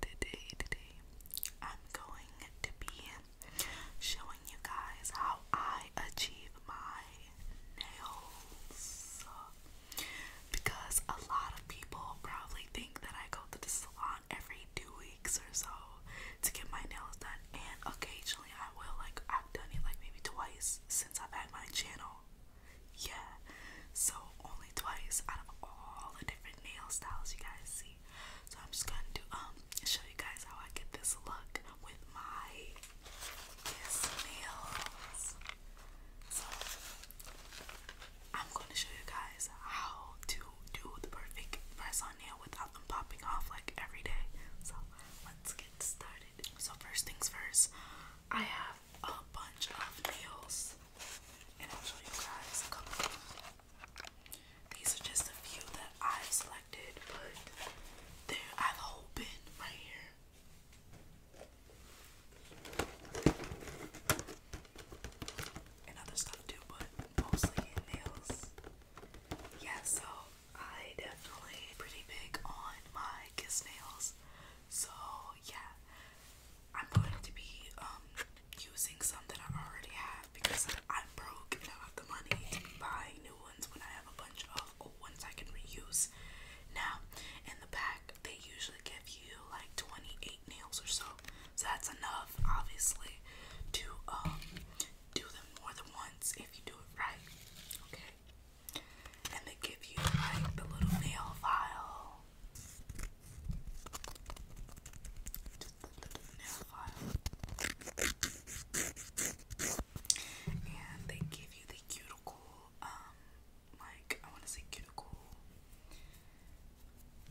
today, today, I'm going to be showing you guys how I achieve my nails. Because a lot of people probably think that I go to the salon every two weeks or so to get my nails done, and occasionally I will. Like, I've done it like maybe twice since I've had my channel. Yeah. So only twice out of all the different nail styles you guys see. So I'm just gonna do um show you guys how I get this look with my nails. So I'm gonna show you guys how to do the perfect press on nail without them popping off like every day. So let's get started. So first things first, I have a bunch of nails and I'll show you guys a couple These are just a few that I have selected, but there I have a whole bin right here. And other stuff too, but mostly nails. Yeah, so I definitely pretty big on my kiss nails. So yeah, I'm going to be um using some that I already have because I'm broke and I have the money to be new ones when I have a bunch of old ones I can reuse. Now in the back they usually give you like 28 nails or so. So that's enough obviously to um do them more than once if you do it right. Okay. And they give you like the little nail file just a little nail file. And they give you the cuticle, um, like, I want to say cuticle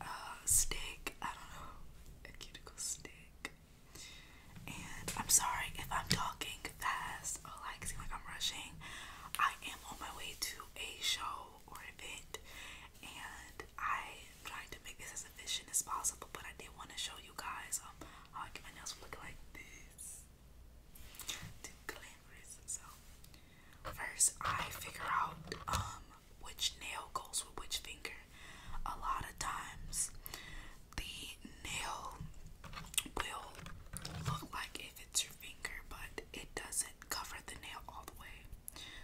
uh, stick. I don't know. A cuticle stick. And I'm sorry if I'm talking fast or like, seem like I'm rushing. I am on my way to a show or event, and I tried to make this as efficient as possible, but I did want to show you guys um, how I my nails look like this. glamorous. So, first, I figure out um, which nail goes with which finger. A lot of times, the nail will look like it fits your finger, but it doesn't cover the nail all the way.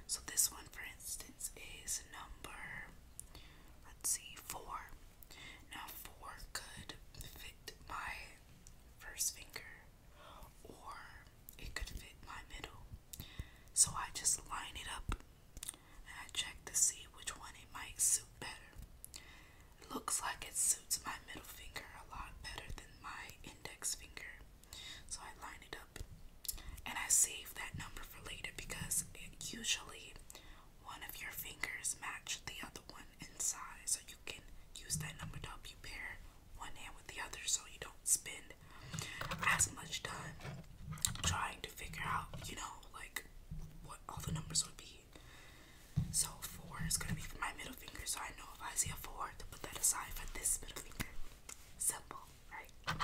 So this one, for instance, is number, let's see, four. Now four could fit my first finger, or it could fit my middle. So I just line it up and I check to see which one it might suit better looks like it suits my middle finger a lot better than my index finger. So I line it up and I save that number for later because usually one of your fingers match the other one in size so you can use that number to help you pair one hand with the other so you don't spend as much time trying to figure out, you know, like what all the numbers would be so four is gonna be for my middle finger. So I know if I see a four to put that aside for this middle finger. Simple, right?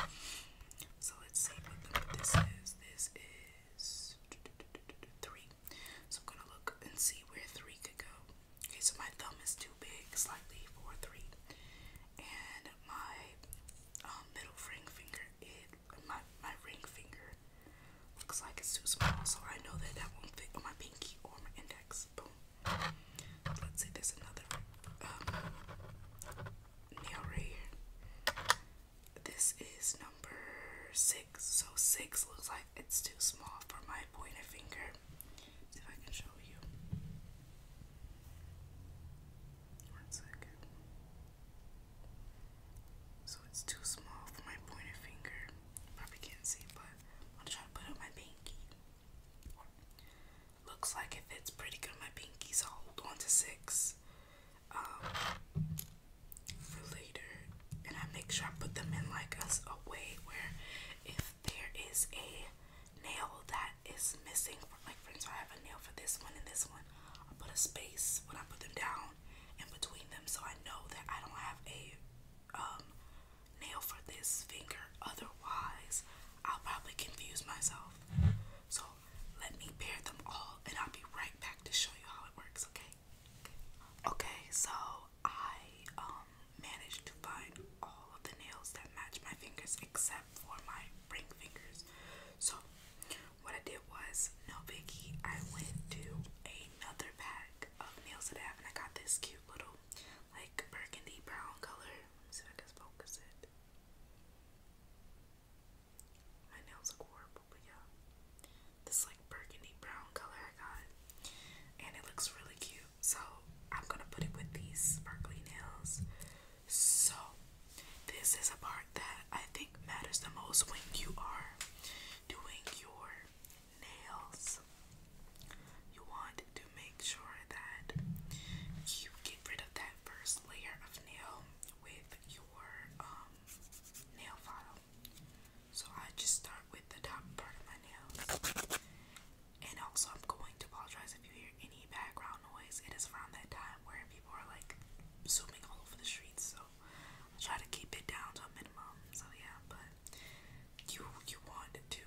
So let's see what this is. This is three. So I'm gonna look and see where three could go. Okay, so my thumb is too big, slightly for three. And my um, middle ring finger, it my my ring finger Looks like it's too small, so I know that that won't fit on my pinky or my index. Boom. Let's see, there's another um, nail right here. This is number six. So six looks like it's too small for my pointer finger. see if I can show you. One second. So it's too small for my pointer finger. Probably can't see, but I'm try to put up my pinky. Looks like it fits pretty good my pinky, so hold on to six um, for later. And I make sure I put them in like a, a way where if there is a nail that is missing, like for instance, I have a nail for this one and this one, I'll put a space when I put them down in between them so I know that I don't have a um, nail for this finger otherwise I'll probably confuse myself so let me pair them all and I'll be right back to show you how it works okay okay so I um, managed to find all of the nails that match my fingers except for my ring fingers so what I did was, no biggie, I went to another pack of Nails That I Have, and I got this cute little, like, burgundy brown color. Let me see if I can focus it. My nails look horrible, but yeah. This, like, burgundy brown color I got, and it looks really cute. So, I'm gonna put it with these sparkly nails. So, this is a part that I think matters the most when you are doing your nails. You want to make sure that you get rid of that first layer of nail with your um, nail file. So I just start with the top part of my nails. And also, I'm going to apologize if you hear any background noise. It is around that time where people are like zooming all over the streets, so I try to keep it down to a minimum. So yeah, but you you want to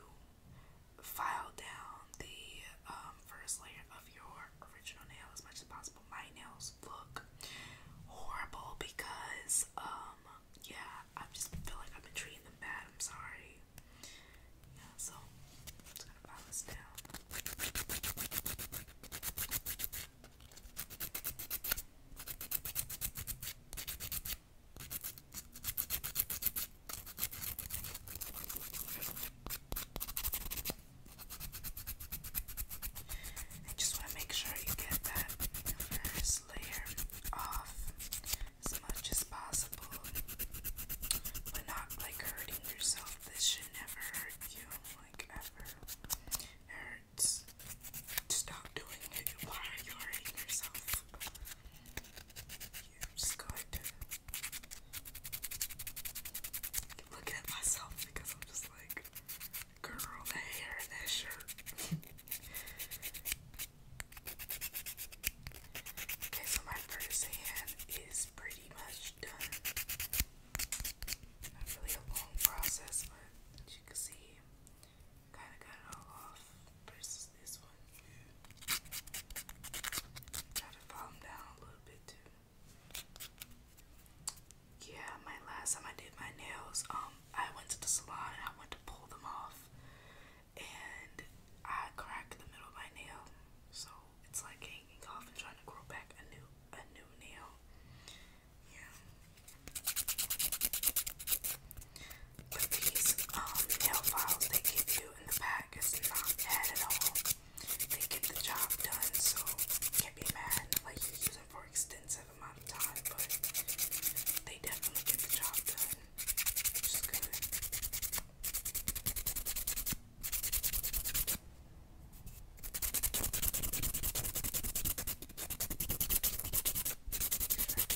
file down the um, first layer of your original nail as much as possible. My nails look horrible because um yeah, I just feel like I've been treating them bad. I'm sorry. Yeah, so I'm just going file this down. I just want to make sure you get that first layer off as much as possible, but not like hurting yourself. This should never hurt you like ever. It hurts. Stop doing it. Why are you hurting yourself? You're good. Look at myself because I'm just like, girl, that hair and that shirt. okay, so my first hand is pretty much done. Not really a long process, but as you can see, kind of got it all off versus this one. Try to calm down a little bit too. Yeah, my last time I did my nails, um, I went to the salon and I went to pull them off, and I cracked the middle of my nail, so it's like hanging off and trying to grow back a new a new nail. Yeah. But these um, nail files they give you in the pack is not bad at all. They get the job done, so can't be mad like you use them for extensive amount of time, but they definitely get the job done, which is good. That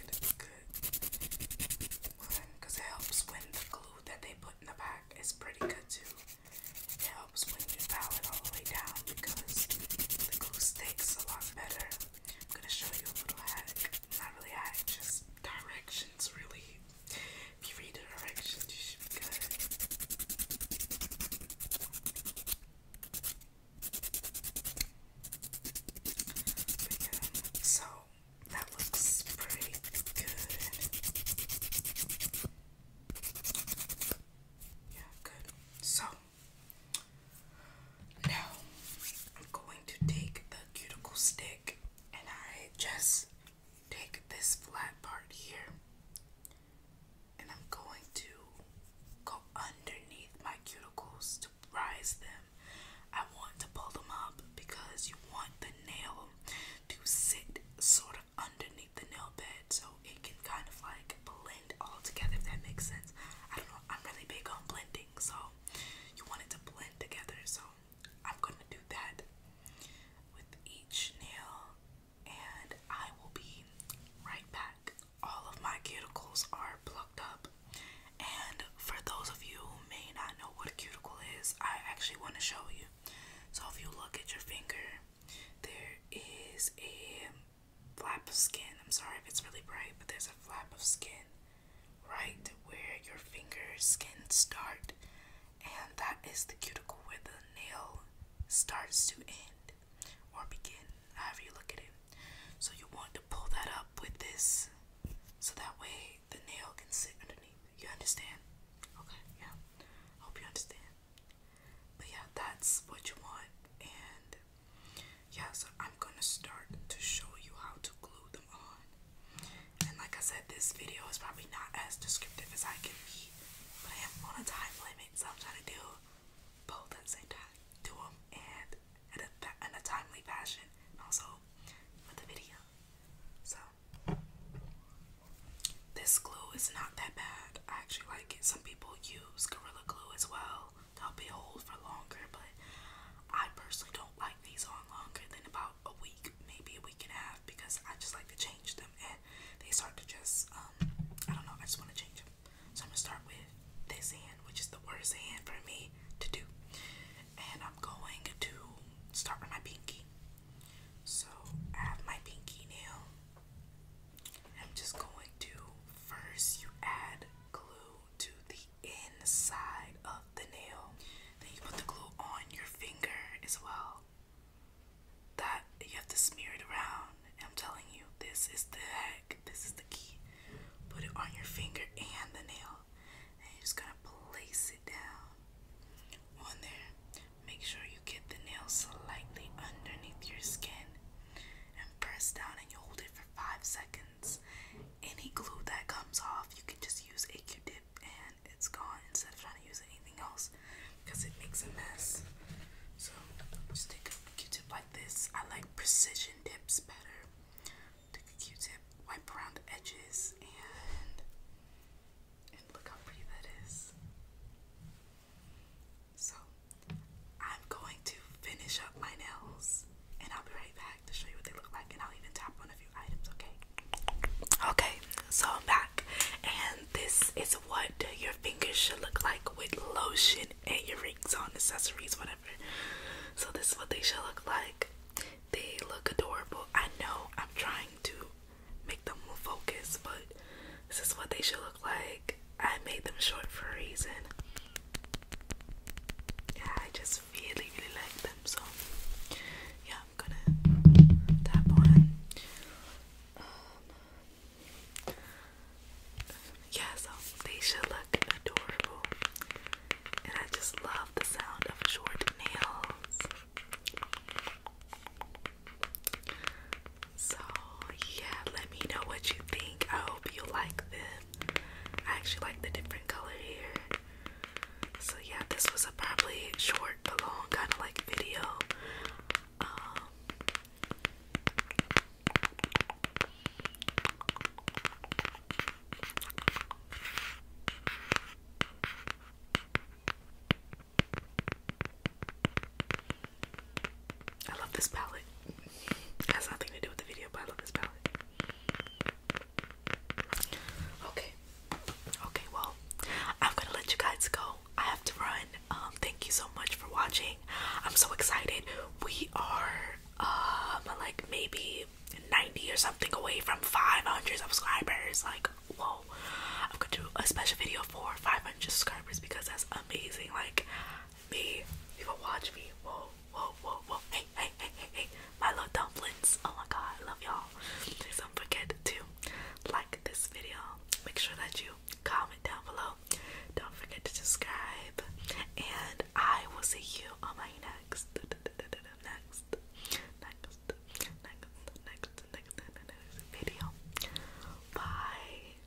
is a good because it helps when the glue that they put in the back is pretty good too. It helps when you dial it all the way down because the glue sticks a lot better. I'm gonna show you a little hack. Not really hack, just directions really. If you read the directions, you should be so that looks pretty good. Yeah, good. So now I'm going to take the cuticle stick and I just take this flat part here and I'm going to go underneath my cuticles to rise them. I want to pull them up because you want the nail to sit sort of underneath the nail bed so it can kind of like blend all together if that makes sense. I don't know, I'm really big on blending so you want it to blend together so I'm gonna do that with each nail, and I will be right back. All of my cuticles are plucked up, and for those of you who may not know what a cuticle is, I actually want to show you. So, if you look at your finger, there is a flap of skin. I'm sorry if it's really bright, but there's a flap of skin right where your finger skin start and that is the cuticle where the nail starts to end or begin, however you look at it. So you want to pull that up with this so that way the nail can sit underneath. You understand? Okay, yeah. Hope you understand. But yeah, that's what you want. And yeah, so I'm gonna start to show you how to glue them on. And like I said, this video is probably not as descriptive as I can be, but I am on a time limit, so I'm trying to do both at the same time. Do them and in a, timely fashion, and also with the video. So, this glue is not that bad. I actually like it. Some people use Gorilla Glue as well to will be hold for longer, but I personally don't like these on longer than about a week, maybe a week can have because I just like to change them and they start to just um, I don't know, I just want to change them. So I'm gonna start with this hand, which is the worst hand for me to do. And I'm going to start with my pinky. So I have my pinky nail. I'm just going to first you add glue to the inside of the nail. Then you put the glue on your finger as well. That you have to smear it around. I'm telling you, this is the heck. This is the key. Put it on your finger and the nail. And you're just gonna place it down on there. Make sure you get the nail slightly underneath your skin and press down and you hold it for five seconds. Any glue that comes off, you can just use a q-tip and it's gone instead of trying to use anything else because it makes a mess. So just a Q-tip like this. I like precision tips better. Take a Q-tip, wipe around the edges, and and look how pretty that is. So I'm going to finish up my nails, and I'll be right and okay? so I'm back, and this is what your fingers should look like with lotion and your rings on, accessories, whatever. So, this is what they should look like. They look adorable. I know I'm trying to make them more focused, but this is what they should look like. I made them short for a reason. Yeah, I just really, really like them. So, yeah, I'm gonna tap on. Um, yeah, so they should look adorable, and I just love the sound of short nails. So, yeah, let me know what you think. I hope you like them. I actually like the different color here. So yeah, this was a probably short but long kind of like video. Um, I love this palette. has nothing to do with the video, but I love this palette. Okay. Okay, well, I'm gonna let you guys go. I have to run. Um, thank you so much for watching. I'm so excited. We are um like maybe 90 or something away from 500 subscribers. Like, whoa. I'm gonna do a special video for 500 subscribers because that's amazing. Like, me, people watch me. Whoa whoa, whoa, whoa. Hey, hey, hey, hey, hey. My little dumplings. Oh my god, I love y'all. Please don't forget to like this video. Make sure that you comment down below. Don't forget to subscribe. And I will see you on my next, next, next, next, next, next, next video. Bye.